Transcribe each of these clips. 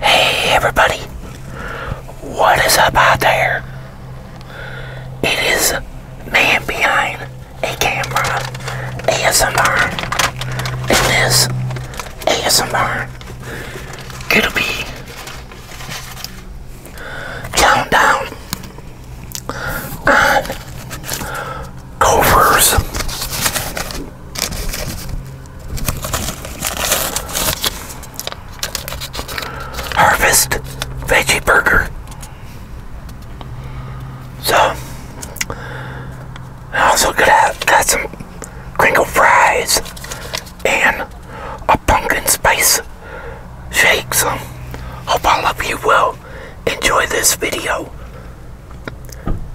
Hey everybody, what is up out there? It is Man Behind a Camera ASMR, It is ASMR gonna be countdown on covers Harvest Veggie Burger. So, I also got, got some crinkle fries and a pumpkin spice shake. So, hope all of you well. enjoy this video.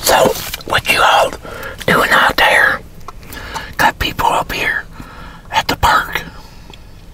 So, what you all doing out there? Got people up here at the park.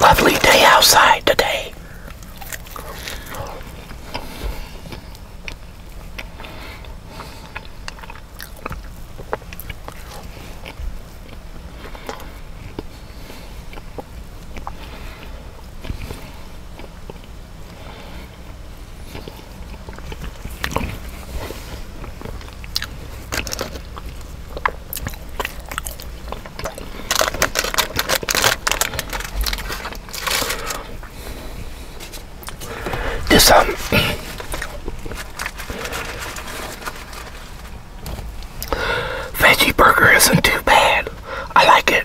Lovely day outside today. This um veggie burger isn't too bad. I like it.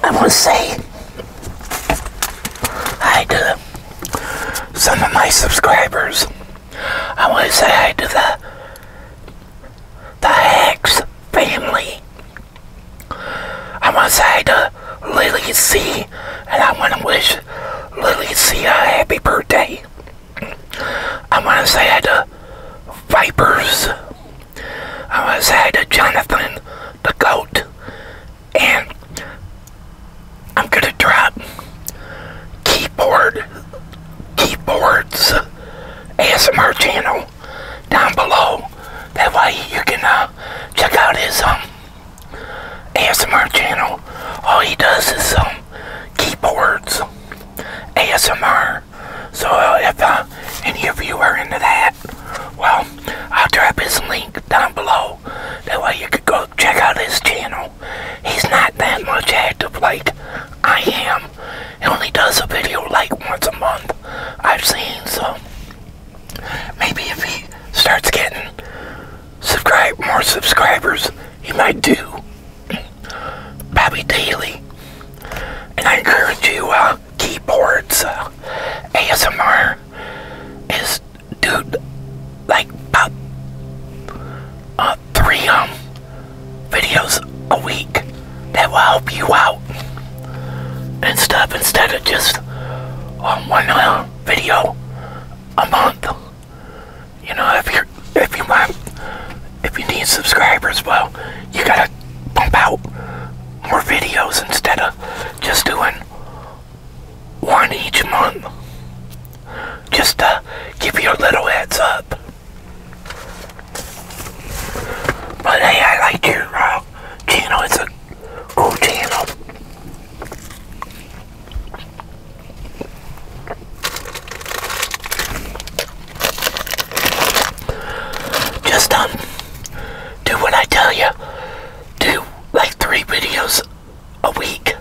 I want to say hi to some of my subscribers. I want to say hi to the the Hacks family. I want to say hi to Lily C, and I want to wish Lily C a happy birthday. I want to say hi to Vipers. I want to say hi to Jonathan the Goat and I'm gonna drop keyboard keyboards ASMR channel down below. That way you can uh, check out his um ASMR channel. All he does is um keyboards ASMR. So uh, if uh, any of you are into that, well, I'll drop his link down below that way you could go check out his channel. He's not that much active like I am. He only does a video like once a month. I've seen so maybe if he starts getting subscribe more subscribers, he might do probably daily. And I encourage you uh, keyboards ASMR is dude like about uh, three um videos a week that will help you out and stuff instead of just um, one uh, video a month. You know if you if you want if you need subscribers well you gotta pump out more videos instead of just doing one each month just to give you a little heads up. But hey, I like your uh, channel. It's a cool channel. Just um, do what I tell you do like three videos a week.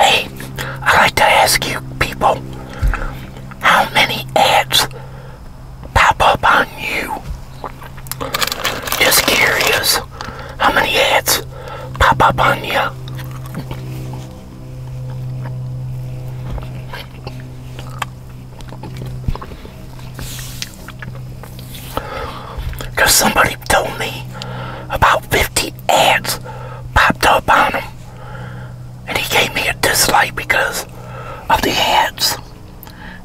Hey, I'd like to ask you people how many ads pop up on you? Just curious, how many ads pop up on you? Because somebody told me about 50 ants popped up on him. And he gave me a dislike because of the ants.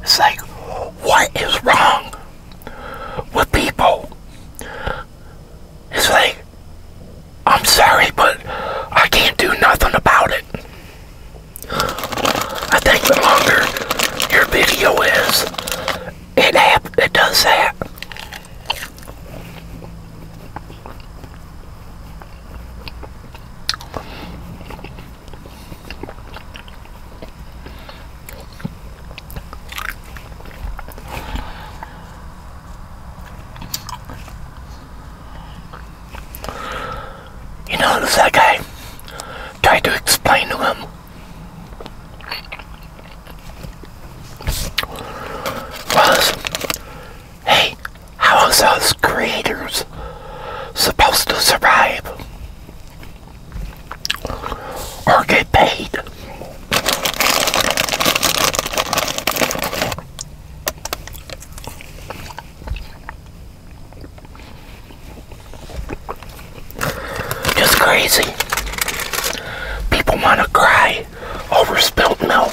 It's like, what is wrong with people? It's like, I'm sorry, but I can't do nothing about it. I think the longer your video is, it it does that. You know, that guy tried to explain to him was, hey, how is us creators supposed to survive or get paid? Just crazy. People want to cry over spilt milk.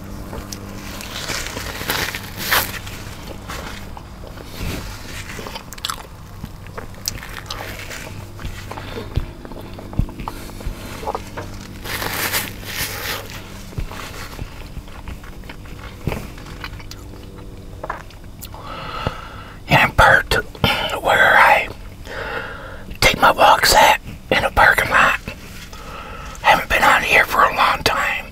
In a where I take my walks at in a parking lot. I Haven't been on here for a long time.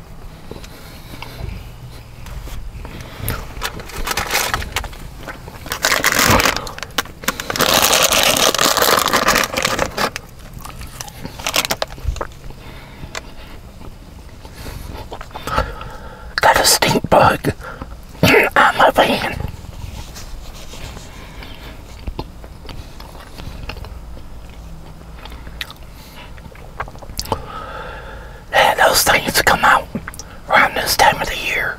Got a stink bug I'm my van. Yeah, those things come out around this time of the year.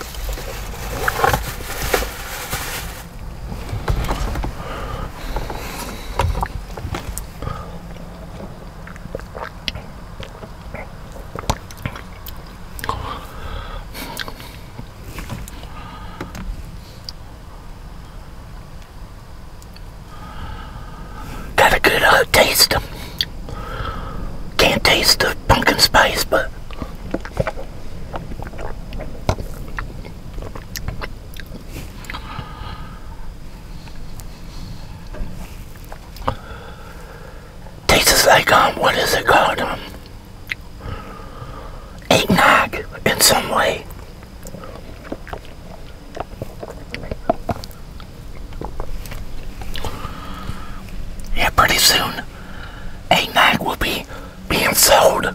Got a good old uh, taste. Can't taste the pumpkin spice, but tastes like um what is it called um, eggnog in some way. Yeah, pretty soon, a nag will be being sold.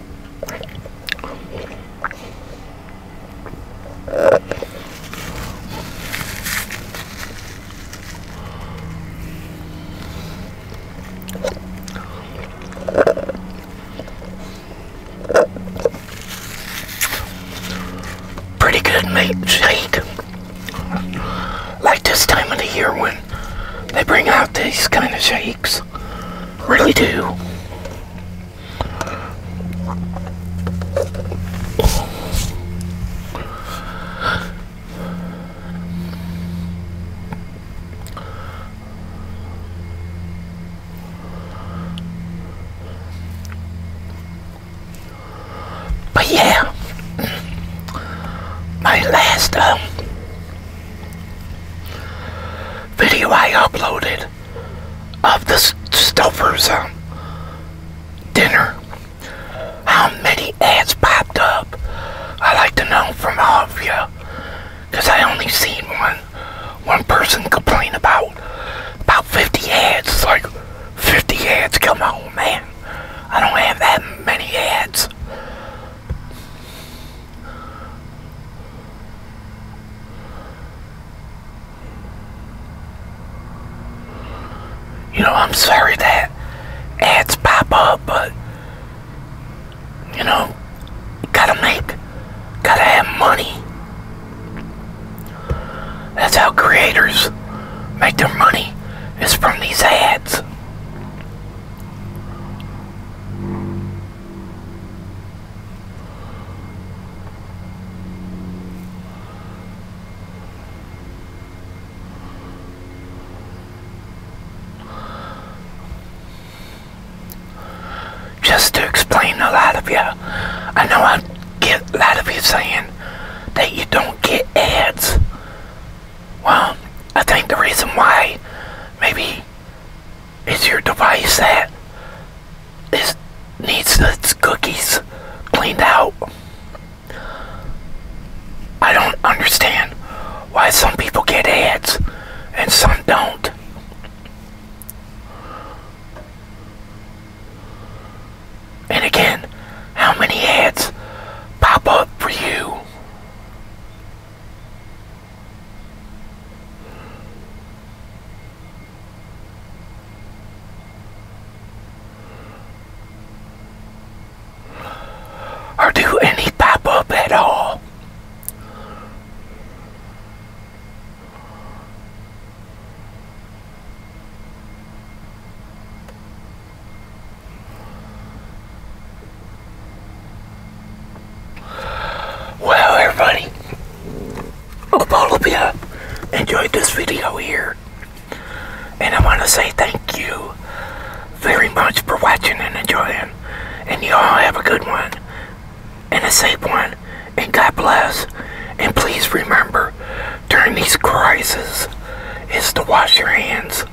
Pretty good mate. shake. Like this time of the year when they bring out these kind of shakes. Really do. But yeah, my last um, video I uploaded of the Stouffer's um, dinner. How many ads popped up? I like to know from all of you, because I only seen one one person complain about about 50 ads. It's like 50 ads. Come on, man. I don't have that many ads. You know, I'm sorry that ads pop up, but, you know, gotta make, gotta have money. That's how creators make their money, is from these ads. Just to explain a lot of you, I know I get a lot of you saying that you don't get ads well, I think the reason why maybe is your device that is needs its cookies cleaned out. I don't understand why some people get ads and some don't. And again, how many ads pop up for you? or do any pop up at all. Well, everybody, hope all of enjoyed this video here. And I want to say thank you very much for watching and enjoying. And you all have a good one and a safe one. And God bless. And please remember, during these crises, is to wash your hands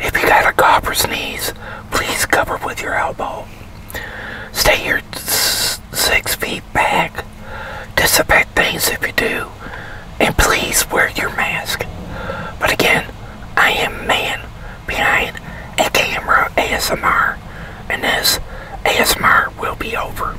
if you got a cough or sneeze, please cover with your elbow. Stay your six feet back. Disinfect things if you do. And please wear your mask. But again, I am man behind a camera ASMR. And this ASMR will be over.